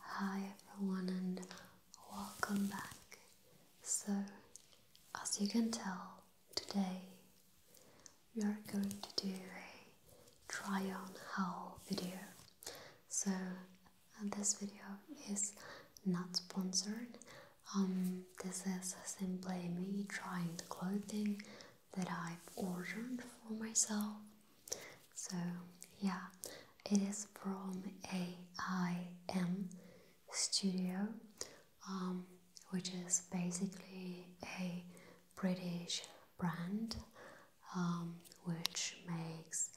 Hi everyone and welcome back. So, as you can tell, today we are going to do a try on haul video. So, uh, this video is not sponsored um, this is simply me trying the clothing that I've ordered for myself. So, yeah, it is from AIM Studio, um, which is basically a British brand um, which makes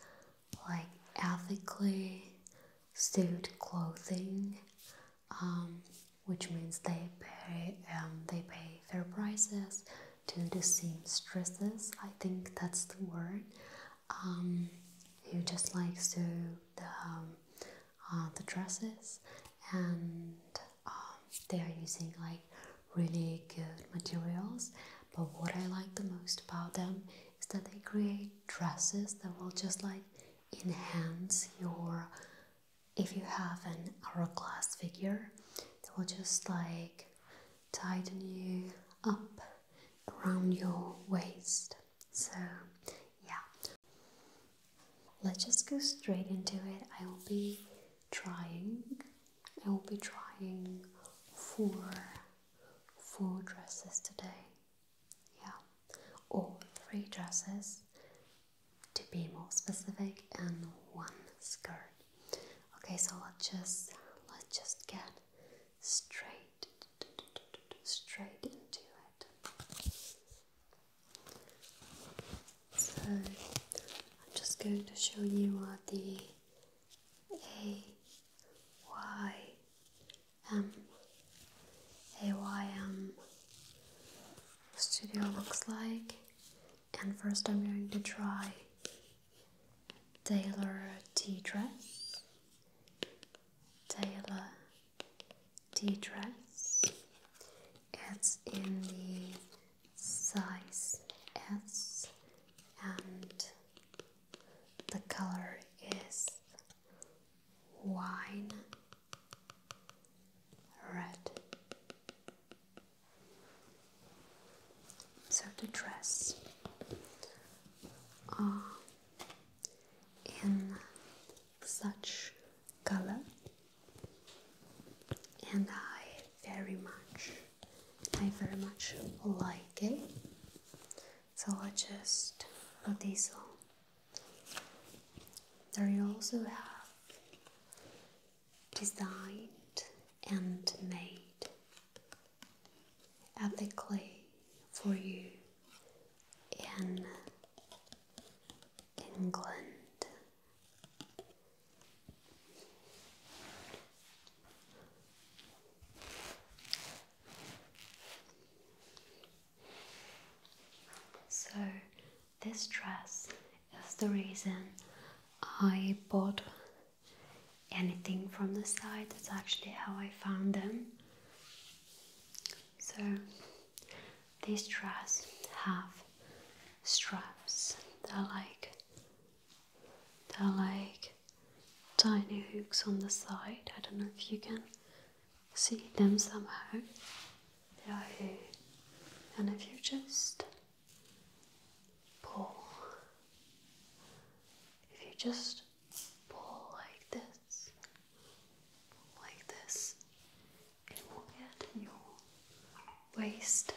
like ethically sewed clothing um, which means they pay um, they pay fair prices to the seamstresses. I think that's the word. Um, who just like to the um, uh, the dresses, and um, they are using like really good materials. But what I like the most about them is that they create dresses that will just like enhance your if you have an hourglass figure it will just like tighten you up around your waist so yeah let's just go straight into it i will be trying i will be trying for four dresses today yeah, or three dresses to be more specific, and one skirt. Okay, so let's just let's just get straight straight into it. So I'm just going to show you what the A Y M um, AYM um, studio looks like and first I'm going to try Taylor T dress Taylor T dress it's in the size S and the color is wine red. So the dress are uh, in such color and I very much I very much like it so I just put this on there you also have designed and made ethically for you in England. So, this dress is the reason I bought anything from the site. That's actually how I found them. So, these dress have straps. They're like they're like tiny hooks on the side. I don't know if you can see them somehow. They are here. And if you just pull, if you just pull like this, pull like this, it will get your waist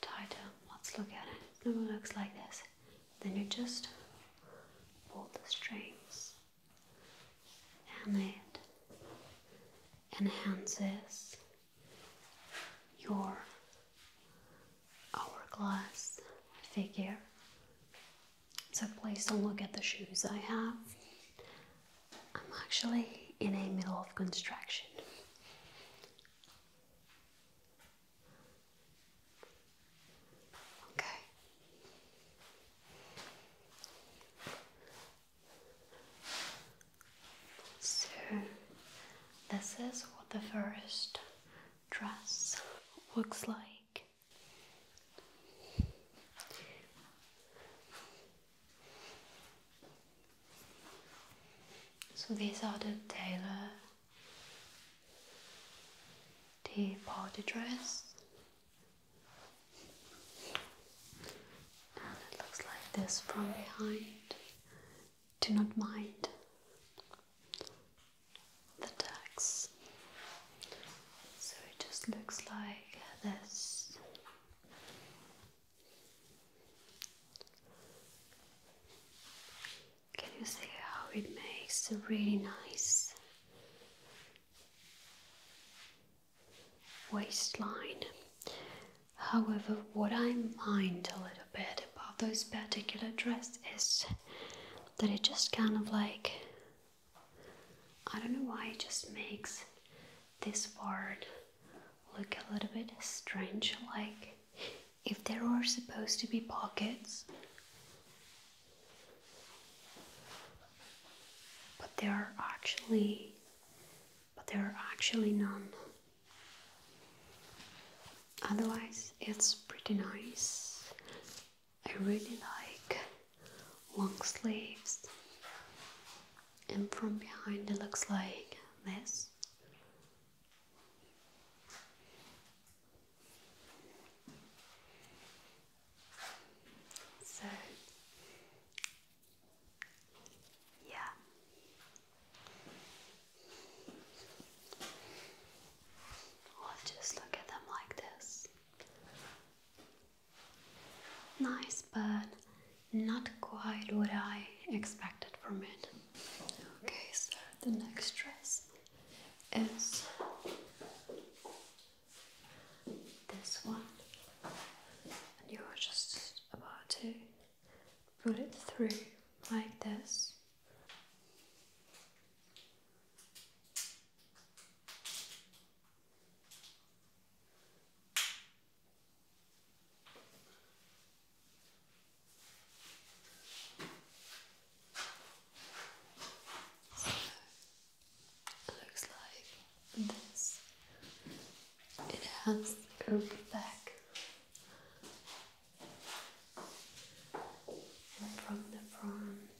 tighter. Let's look at it. It looks like this then you just pull the strings and it enhances your hourglass figure. So please don't look at the shoes I have. I'm actually in a middle of construction. Okay. So, this is what the first dress looks like. So, these are the tailor the party dress it looks like this from behind do not mind the tags so it just looks like this can you see how it makes a really nice waistline? However, what I mind a little bit about those particular dress is that it just kind of like I don't know why it just makes this part look a little bit strange like if there were supposed to be pockets but there are actually but there are actually none. Otherwise it's pretty nice. I really like long sleeves and from behind it looks like this so, yeah. Or just look at them like this. Nice, but not quite what I expected from it. Okay, so the next dress is this one, and you're just about to put it through like this. So, looks like this. It has a back. And from the front,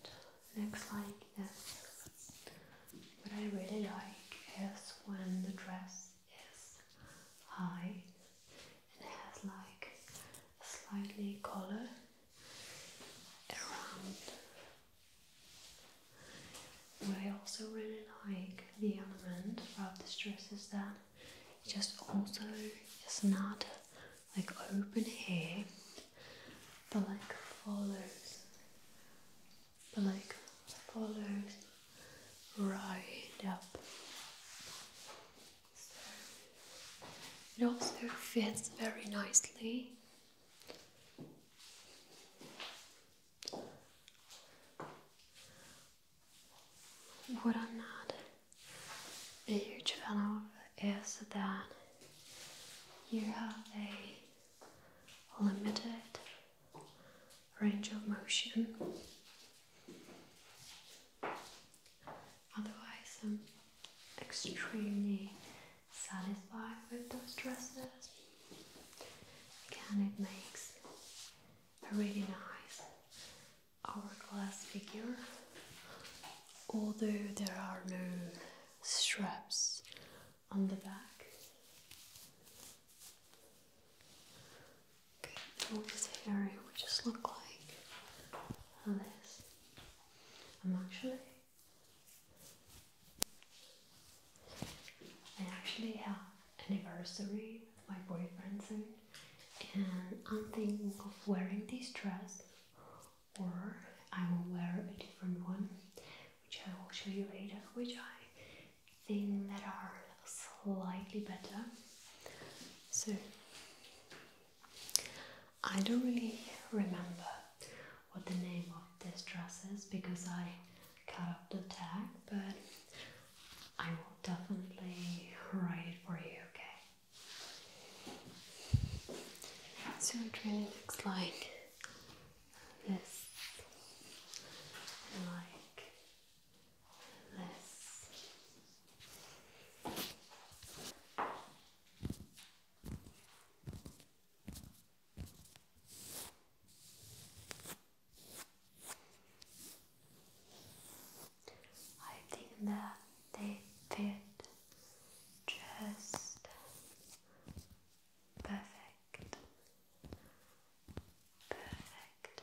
looks like this. What I really like is when the dress is high and has like a slightly collar but I also really like the element of the dress is that it just also is not like open here, but like follows, but like follows right up it also fits very nicely. What I'm not a huge fan of is that you have a limited range of motion. Otherwise, I'm extremely satisfied with those dresses. Again, it makes a really nice hourglass figure, although there are no straps on the back. Okay, what is here? would just look like this. I'm actually I actually have anniversary with my boyfriend soon and I'm thinking of wearing this dress or I will wear a different one which I will show you later which I think that are slightly better. So I don't really remember what the name of this dress is because I cut off the tag, but I will definitely write it for you, okay? So it really looks like this like this I think that they fit just perfect, perfect.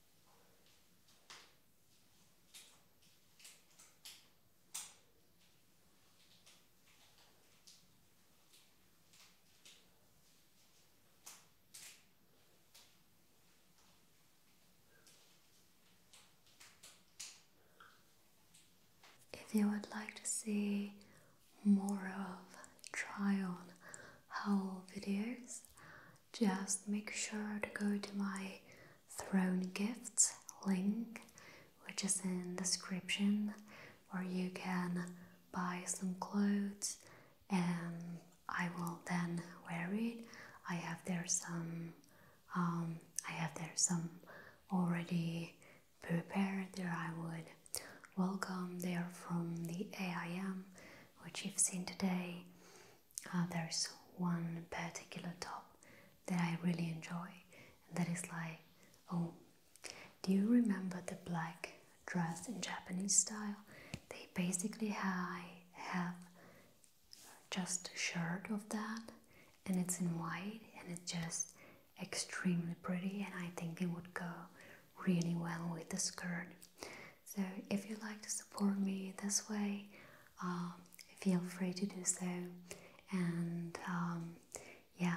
If you would like to see more of try on haul videos, just make sure to go to my Throne Gifts link, which is in description, where you can buy some clothes and I will then wear it. I have there some um, I have there some already prepared there I would welcome. They are from the AIM, which you've seen today. Uh, there's one particular top that I really enjoy, and that is like, oh, do you remember the black dress in Japanese style? They basically have just a shirt of that, and it's in white, and it's just extremely pretty, and I think it would go really well with the skirt. So, if you'd like to support me this way, um, feel free to do so. And um, yeah.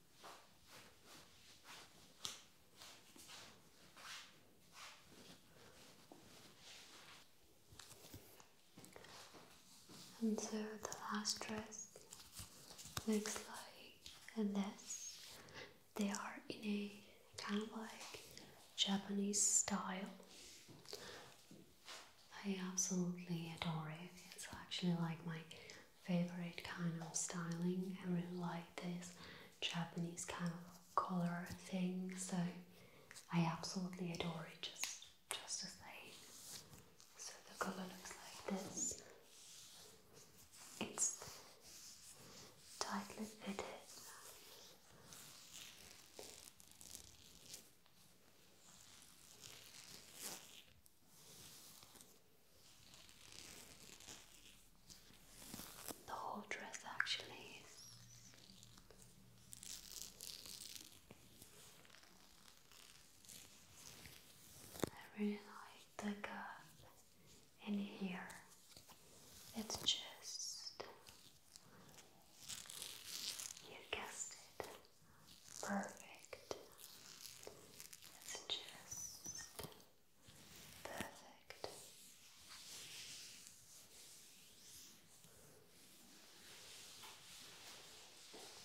And so the last dress looks like this. They are in a kind of like Japanese style. I absolutely adore it. It's actually like my favorite kind of styling. I really like this Japanese kind of color thing, so I absolutely adore it. Just, just as they. So the color looks like this. It's tightly fitted. The whole dress actually is. I really like the curve in here. It's just you guessed it. Perfect. It's just perfect.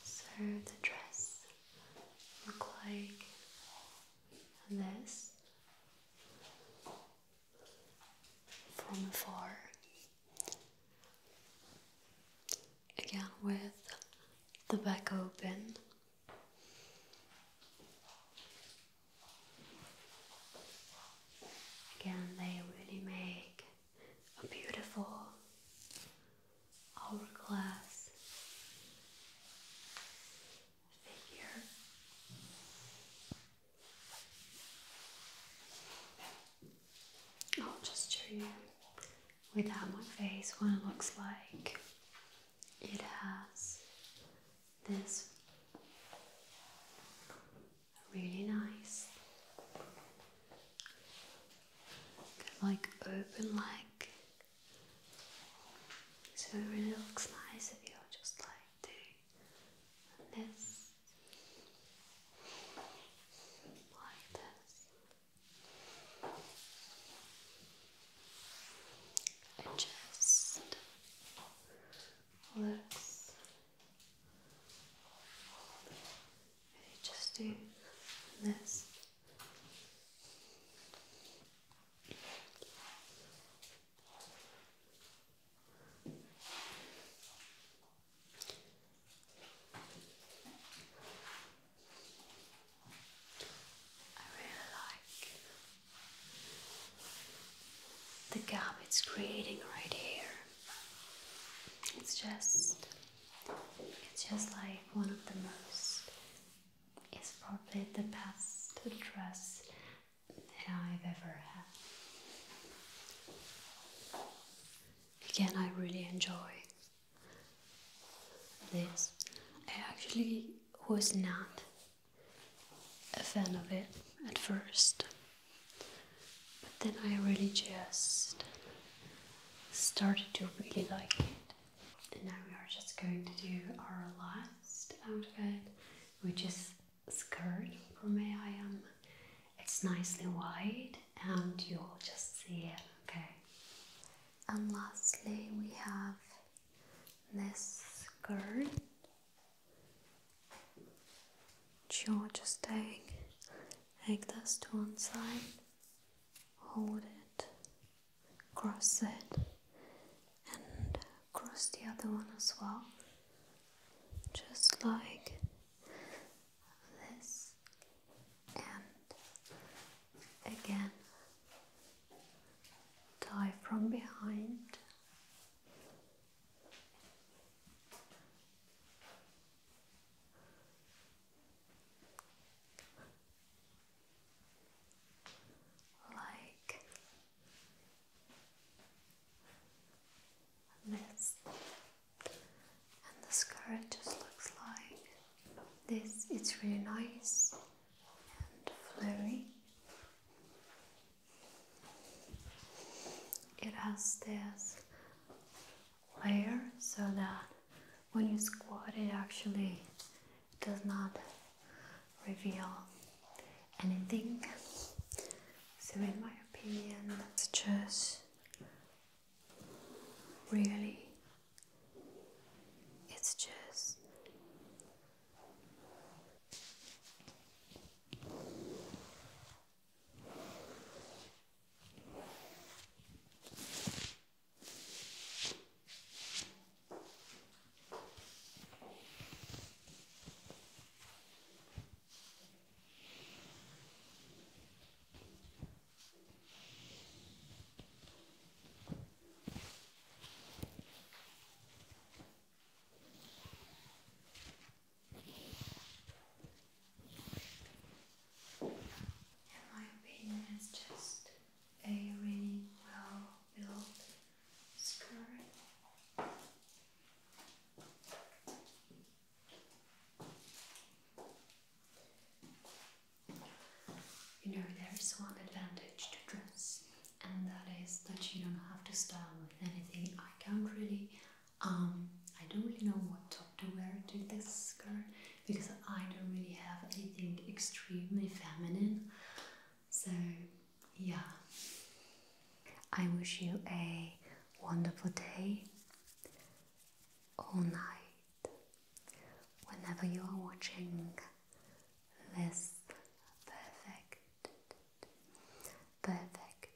So the dress look like this from afar again with the back open. Again, they really make a beautiful hourglass figure. I'll just show you without my face what it looks like. It has this really nice, kind like open leg, so it really looks nice if you're just like doing this, like this. I just looks. Maybe just do this. I really like the gap it's creating right here. It's just it's just like one of the most it's probably the best dress that I've ever had. Again, I really enjoy this. I actually was not a fan of it at first, but then I really just started to really like it. And now we are just going to do our last outfit, which is skirt from I am. It's nicely wide and you'll just see it, okay? And lastly, we have this skirt. Sure, just take, take this to one side, hold it, cross it, and cross the other one as well, just like this and again tie from behind like this and the skirt just looks like this. It's really nice and flurry. It has this layer so that when you squat, it actually does not reveal anything. So, in my opinion, that's just Really, it's just in my opinion, it's just a really well built skirt. You know, there is one advantage to dress, and that is that you don't have to style with anything. I can't really, um, I don't really know what top to wear to this skirt because I don't really have anything extremely feminine. So, yeah. I wish you a wonderful day all night whenever you are watching this perfect, perfect,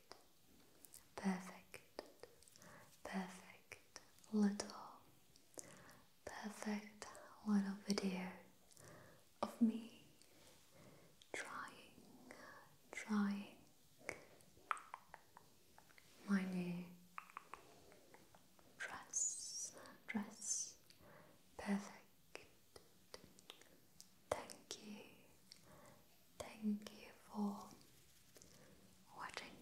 perfect, perfect little, perfect little video of me trying, trying my new dress, dress, perfect. Thank you, thank you for watching.